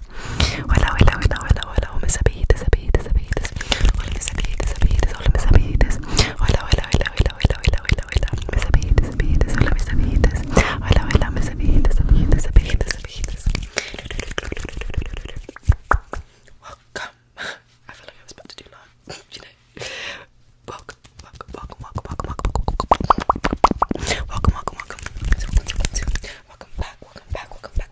Yes. Hola, hola, hola, hola, hola, mis amiguitos, amiguitos, amiguitos. Hola, mis amiguitos, amiguitos, hola, mis amiguitos. Hola, hola, hola, hola, hola, hola, hola, hola, mis amiguitos, amiguitos, hola, mis amiguitos. Hola, hola, mis amiguitos, amiguitos, amiguitos, amiguitos. Welcome. I feel like I was about to do long, you know. Welcome, welcome, welcome, welcome, welcome, welcome, welcome, welcome, welcome, welcome, welcome back, welcome back, welcome back.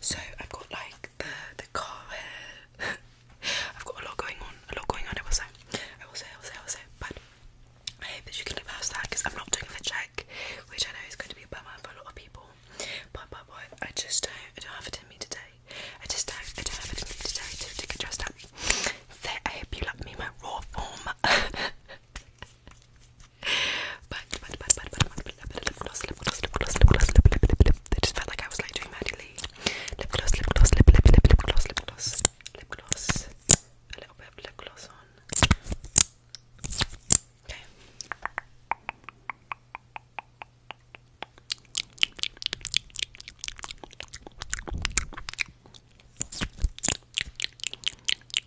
so I've got like the, the car hair, I've got a lot going on, a lot going on, I will say, I but I hope that you can live past that because I'm not doing the check, which I know is going to be a bummer for a lot of people, but, but, but, I just don't, I don't have it in me today, I just don't, I don't have it in me today to, to get dressed up. So I hope you like me in my raw form. but but but but but but lip gloss, lip gloss, lip gloss, lip gloss, lip lip lip lip. It just felt like I was like doing Maddie Lee. Lip gloss, lip gloss, lip lip lip lip gloss, lip gloss, lip gloss. A little bit of lip gloss on. Okay.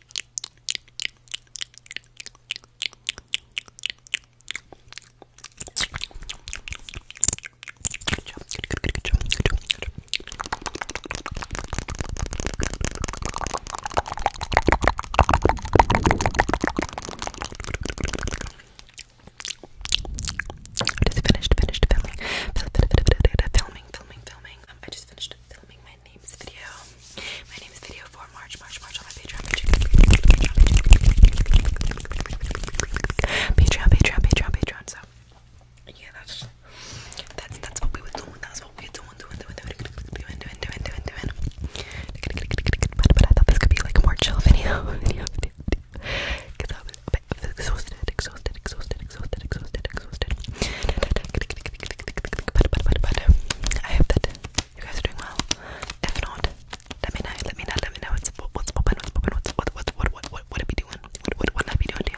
Good job, good, good, good, good job, good job, good job. I just finished, finished filming, filming, filming, filming. Um, I just finished filming my my name's video. My name's video for March, March, March on my Patreon, Patreon, Patreon, Patreon, Patreon, So yeah, that's that's that's what we were doing. That's what we were doing, doing, doing, doing, doing, doing, doing, doing, doing. But, but I thought this could be like a more chill video, I hope that you guys are doing well. If let me know. Let me know. Let me know what's what's what's what what what what what what it doing? What what what I doing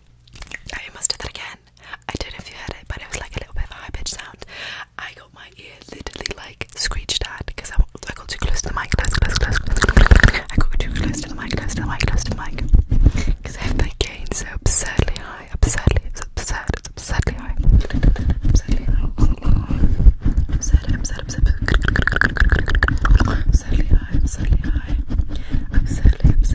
I must do that again. I don't know if you heard it, but it was like a little bit of a high pitched sound. I got my ear literally like screeched at because I, I got too close to the mic. Close, close, close, close, close. I got too close to the mic, close to the mic, close to the mic. Because I have my gain so absurdly high. Absurdly, it's absurd, it's absurdly high. Absurdly high. Absurd, absurd, absurd. Absurdly high, absurdly high. Absurdly, absurdly.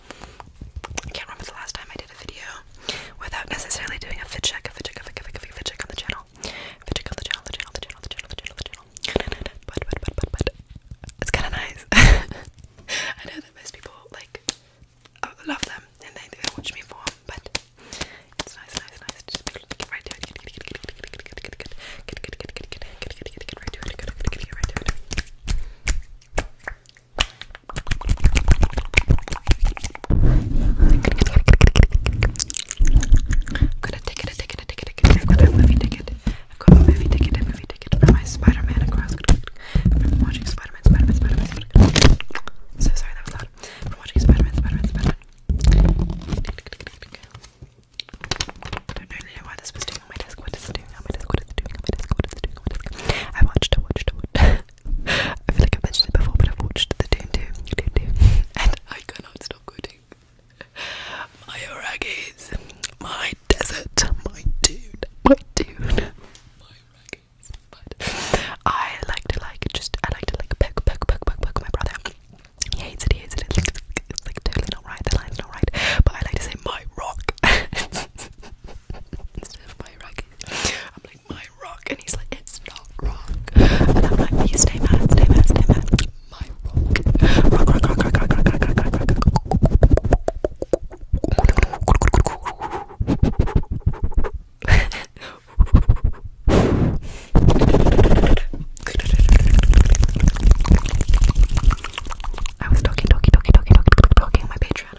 I can't remember the last time I did a video without necessarily doing a fit check, a fit check, a fit check, a fit check, a fit check on the channel. Fit check on the channel, the channel, the channel, the channel, the channel, the channel. But, but, but, but, but, it's kind of nice. I know that most people, like, love them and they, they watch me form, but it's nice, nice, nice. Just be able to get right to it. Get, get, get, get, get, get, get, get. Get, get, get, get, get, get, get, get, get, get, get right to it. Get, get, get, get right to it. I'm gonna take it, a ticket, a ticket, a ticket. I've got a movie ticket. I've got a movie ticket, a movie ticket for my Spider-Man across. I'm watching Spider-Man, Spider-Man, Spider-Man, Spider-Man. So sorry, that was loud. I'm watching Spider-Man, Spider-Man, Spider-Man. I don't really know why this was doing on my desk. What is it doing on my desk? What is it doing on my desk? What is it doing on my desk? I watched, I watched, I watched. I feel like I have mentioned it before, but I've watched the Doom Doom, Doom Doom, and I cannot stop quoting my raggies, my desert, my dude, my dude, my raggies. But I like to like just I like to like poke, poke, poke, poke, poke my brother. He hates it. He hates it. It's like, totally not right. The line's not right. But I like to say my rock instead of my raggies like my rock and he's like it's not rock and I'm like you stay mad stay mad stay mad my rock rock rock rock rock rock rock rock rock rock rock I was talking talking talking talking talking talking on my Patreon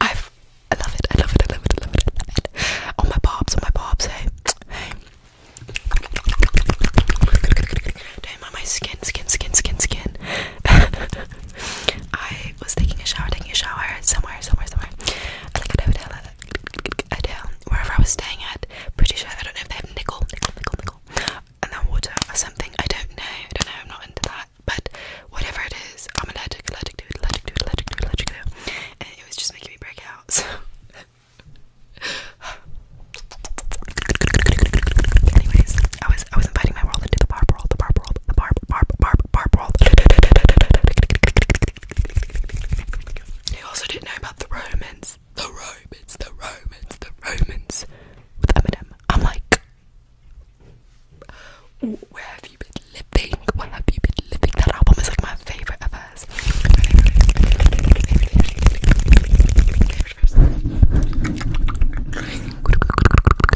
I've, I love it, I love it, I love it, I love it, I love it. On oh, my bobs, on oh, my bobs, hey, hey. Don't mind my skin, skin, skin, skin, skin. I was taking a shower, taking a shower somewhere, somewhere, somewhere. I like it, I would, I um, wherever I was staying at. Pretty sure I don't know if they have nickel, nickel, nickel, nickel, and then water or something. I don't know. I don't know. I'm not into that. But whatever it is, I'm allergic, allergic to allergic to allergic to allergic to it, was just making me break out. Anyways, I was I was inviting my world into the barb world, the barb world, the barb barb barb barb world. They also didn't know about the room the Romans, the Romans, the Romans with Eminem. I'm like, where have you been living? What have you been living? That album is like my favorite of hers.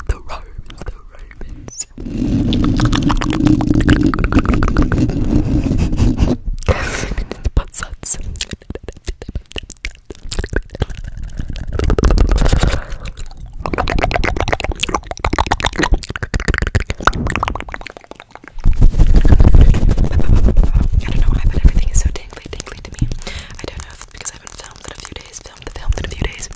The Romans, the Romans. I don't know why, but everything is so tingly, tingly to me. I don't know if because I haven't filmed in a few days, filmed the film in a few days,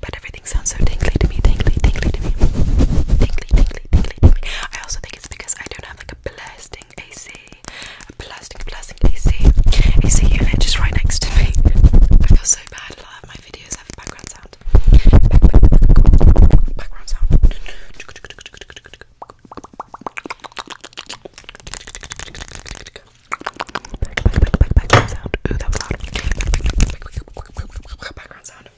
but everything sounds so tingly to me, tingly, tingly to me, tingly, tingly, tingly, tingly. I also think it's because I don't have like a AC, a blasting, AC, AC unit just right next to me. I feel so bad. A lot of my videos have background sound. background sound. Ooh, that was loud. background sound.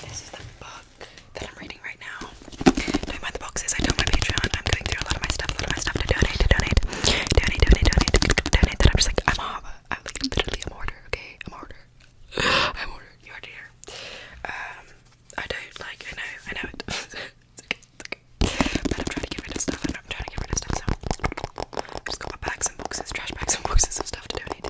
This is the book that I'm reading right now. Don't mind the boxes. I told my Patreon I'm going through a lot of my stuff, a lot of my stuff to donate, to donate, donate, donate, donate, donate. That I'm just like I'm a, I'm like literally a mortar. Okay, I'm a mortar. I'm a mortar. You already here. Um, I don't like. I know. I know it. it's okay, it's okay. But I'm trying to get rid of stuff. I'm trying to get rid of stuff. So I've just got my bags and boxes, trash bags and boxes of stuff to donate.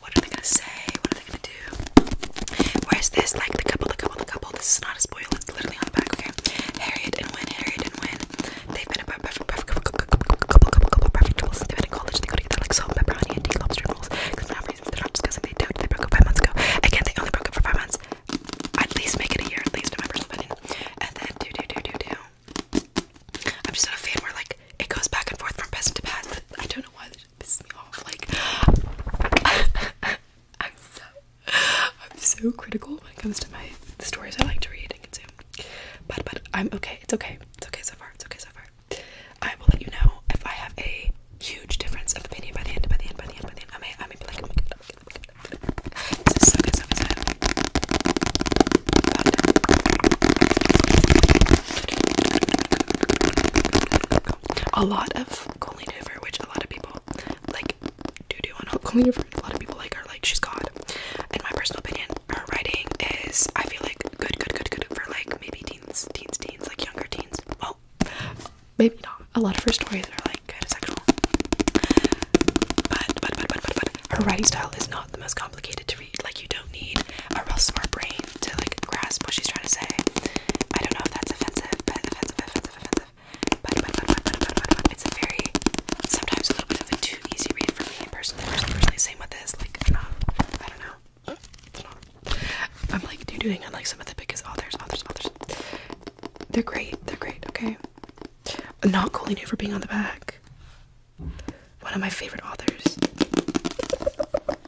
what are they gonna say? What are they gonna do? Where's this? Like the couple, the couple, the couple. This is not a spoiler. It's literally on the back. Okay. Harriet and Wynn. Harriet and Wynn. They've been a perfect, perfect couple, couple, couple, couple, couple, perfect rules. They've been in college. They go together like salt, pepper, honey, and tea, lobster rules. Because for reasons they're not discussing. They don't. They broke up five months ago. Again, they only broke up for five months. At least make it a year. At least in my personal opinion. And then do, do, do, do, do. I'm just not a fan where like it goes back and forth from past to past. I don't know why shit pisses me off. Like I'm so I'm so critical when it comes to my the stories I like to read and consume. But but I'm okay. It's okay. It's okay so far. It's okay so far. I will let you know if I have a huge difference of opinion by the end. By the end. By the end. By the end. I may I may be like. Oh my God, oh my God, oh my God. Oh this is so good. So good. So good. But, a lot of Colleen which a lot of people like do do on Colleen A lot of people like her, like she's God. In my personal opinion, her writing is I feel like good, good, good, good for like maybe teens, teens, teens, like younger teens. Well, maybe not. A lot of her stories are like kind of sexual, but but but but but but her writing style is not the most complicated to read. Like you don't need a real smart brain to like grasp what she's trying to say. I don't know if that's offensive, but offensive, offensive, offensive. But, but, but, but, but, but, but, but it's a very sometimes a little bit of a too easy read for me personally. Personally, personally same with this. Like I'm not, I don't know. I'm like you doing unlike some of the biggest authors, authors, authors. They're great. They're great. Okay. Not Colleen Hoover being on the back. One of my favorite authors.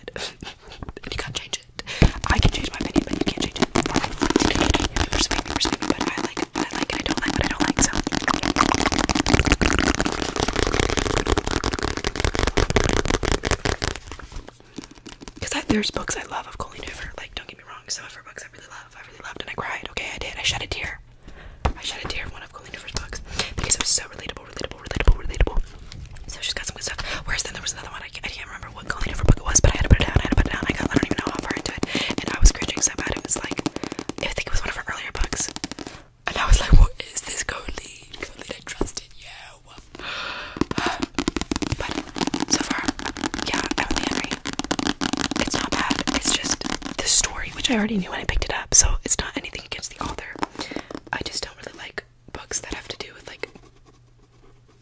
you can't change it. I can change my opinion, but you can't change it. You I like what I like and I don't like what I don't like, so. Because there's books I love of Colleen Hoover, like, don't get me wrong, some of her books I really love, I really loved, and I cried, okay, I did, I shed a tear. I shed a tear of one of Colleen Hoover's books, because it was so relatable relatable, relatable, relatable, So she's got some good stuff. Whereas then there was another one, I can't, remember what Colleen book it was, but I had to put it down, I had to put it down. I, I don't even know how far into it. And I was cringing so bad, it was like, I think it was one of her earlier books. And I was like, what is this Colleen? Colleen, I trusted you. But so far, yeah, I'm only Henry. It's not bad. It's just the story, which I already knew when I picked it up, so it's not anything against the author. I just don't really like like books that have to do with like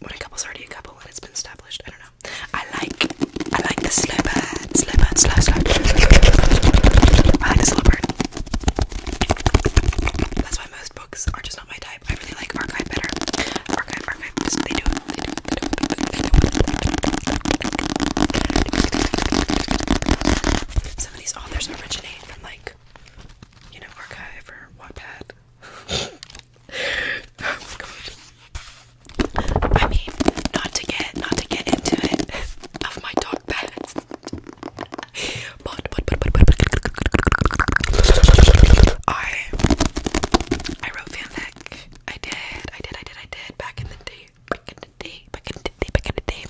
when a couple's already a couple and it's been established. I don't know. I like I like the slow bird, slow bird, slow slow. I like the slow bird. That's why most books are just not my type. I really like archive better. Archive, archive, just, they do it. They do it. They do it. They do it. Some of these authors originate from like you know, archive or Wattpad. oh my god. I mean, not to get not to get into it of my dog past. But but but but but I I wrote fanfic. I did, I did, I did, I did back in the day. Back in the day, back in the day, back in the day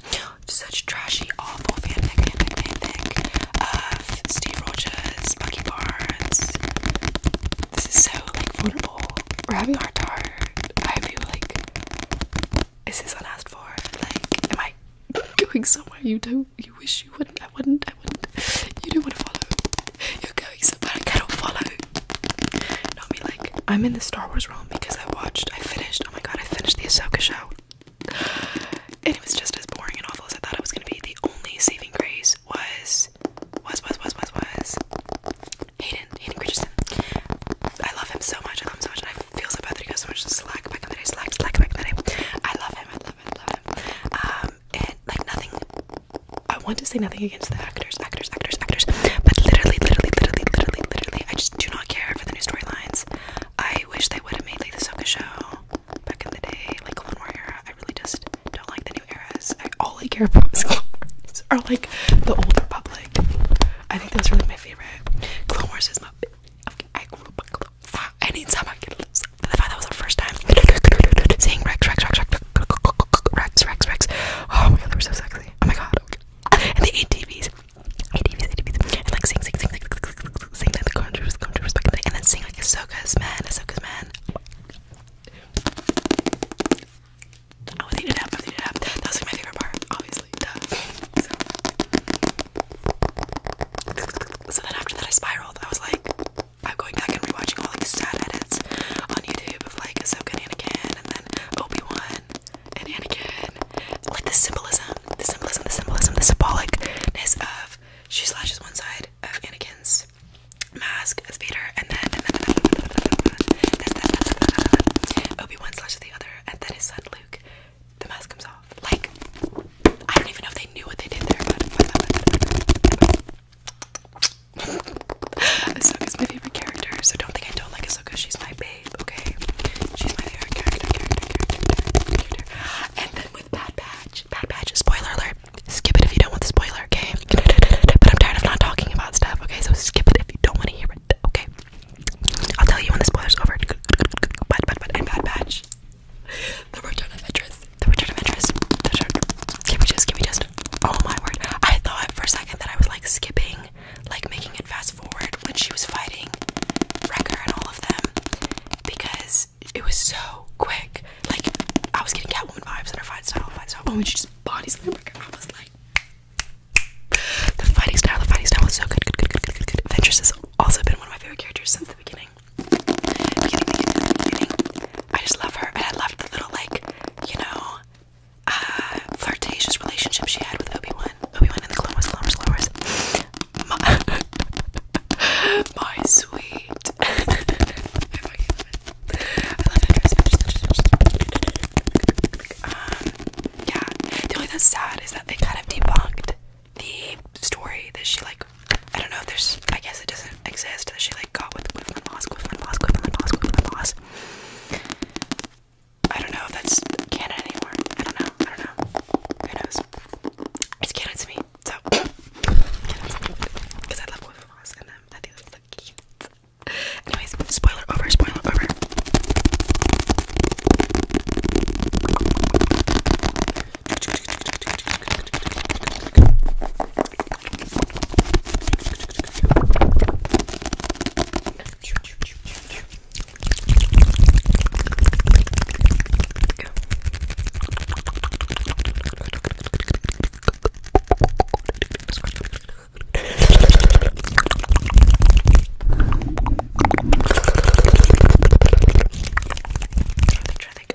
such trashy, awful fanfic, fanfic, of Steve Rogers, Bucky Barnes. This is so like vulnerable. We're having our time. I feel like is this unasked for? Like, am I going somewhere you don't? You wish you wouldn't. I wouldn't. I wouldn't. You do want to follow. You're going somewhere I cannot follow. Not me. Like, I'm in the Star Wars realm because I watched. I finished. Oh my god! I finished the Asoka show and it was just as boring and awful as I thought it was gonna be. The only saving grace was was was was was was Hayden Hayden Christensen. I love him so much. I love him so much, and I feel so bad that he got so much slack back in the day. Slack, slack back in the day. I love him. I love him. I love him. Um, and like nothing. I want to say nothing against the actors, actors, actors, actors, but literally, literally, literally, literally, literally, I just do not care for the new storylines. I wish they would have made like the Soka show back in the day, like one more era. I really just don't like the new eras. I all I care about is Clone Wars or like the old Republic. I think that was really my favorite. Clone Wars is my okay, I grew up with Clone Wars. Anytime I get lose the fact that was the first time seeing Rex, Rex, Rex, Rex, Rex, Rex, Rex. Oh my god, they were so sexy. Oh my god. And the ATVs. ADVs, ADVs, and like sing, sing, sing, sing, sing, sing, sing, sing like the Gone Troopers, Gone Troopers back in the day, and then sing like Ahsoka's Man, Ahsoka's Man. I was eating it up, I was eating it up. That was like my favorite part, obviously, duh. So. So then after that I spiraled. I was like, I'm going back and rewatching all like sad edits on YouTube of like Ahsoka and Anakin and then Obi-Wan and Anakin like the symbolism, the symbolism, the symbolism, the symbolicness of she slashes one side of Anakin's mask as Vader, and then, and then, then Obi Wan slashes the other, and then his son Luke. The mask comes off. Like I don't even know if they knew what they did there, but. Ahsoka's my favorite character, so don't think I don't like Ahsoka. She's my babe, okay? She's my later, character, character, character, character. And then with Bad Patch, Bad Patch, spoiler alert, skip it if you don't want the spoiler, okay? But I'm tired of not talking about stuff, okay? So skip it if you don't want to hear it, okay? I'll tell you when the spoiler's over. But, but, but, and Bad Patch. The Return of Interest. The Return of Interest. The return. Give me just, give me just. Oh my word. I thought for a second that I was like skipping, like making it fast forward when she was fighting Wrecker and all of them because it was so quick. Like I was getting Catwoman vibes in her style, fight she just body slammed I was like, the fighting style, the fighting style was so good. Good, good, good, good, good, good. Ventress has also been one of my favorite characters since the beginning. I just love her, and I loved the little like, you know, uh, flirtatious relationship she had with Obi Wan. Obi-Wan, and the Clone Wars, Clone Wars, Clone Wars. My, sweet. Um, yeah. The only that's sad is that they kind of debunked the story that she like. I don't know there's. I guess it doesn't exist that she like got with Quinlan Moss, Quinlan Moss, Quinlan Moss, Quinlan Moss. I don't know if that's canon anymore. I don't know. I don't know. Who knows? it's canon to me, so because I love Boy Boss and um, I think that's so cute. Anyways, spoiler over, spoiler over.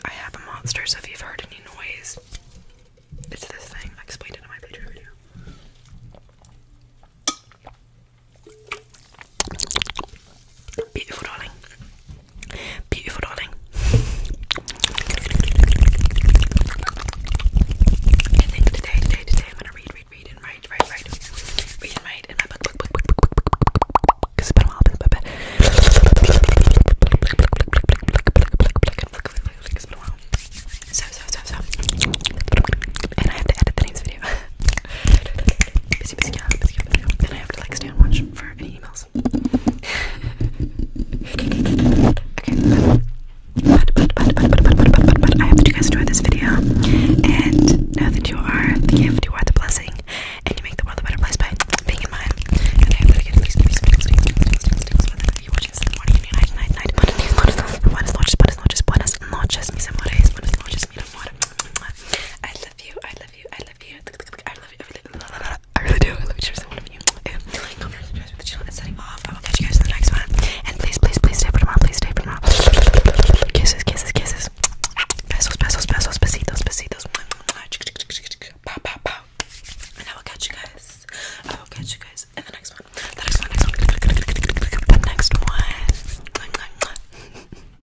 I have a monster, so if you've heard any noise, it's this thing. I explained it in my Patreon video. Beautiful darling. Beautiful darling. I today, today, today I'm gonna read, read, read and write, write, write. Read and write in my book, book, book, book, book, book, book, book, book, book. Cause it's been a while, it's been a bit. It's been a while. So, so, so, so. And I have to edit the next video. Then I have to like stand watch for any emails. okay, I hope that you guys enjoyed this video. And know that you are the gift, you are the blessing, and you make the world a better place by being mine. And love you, I love you, I love you, I love you, I really do, I love each every one of you. And come here, subscribe to the channel and signing off. I will catch you guys in the next one. And please, please, please stay for tomorrow, please stay for tomorrow. Kisses, kisses, kisses. Besos, besos, besos, besitos, besitos. Pow, pow, pow. And I will catch you guys. I will catch you guys in the next one. The next one, next one. The next one.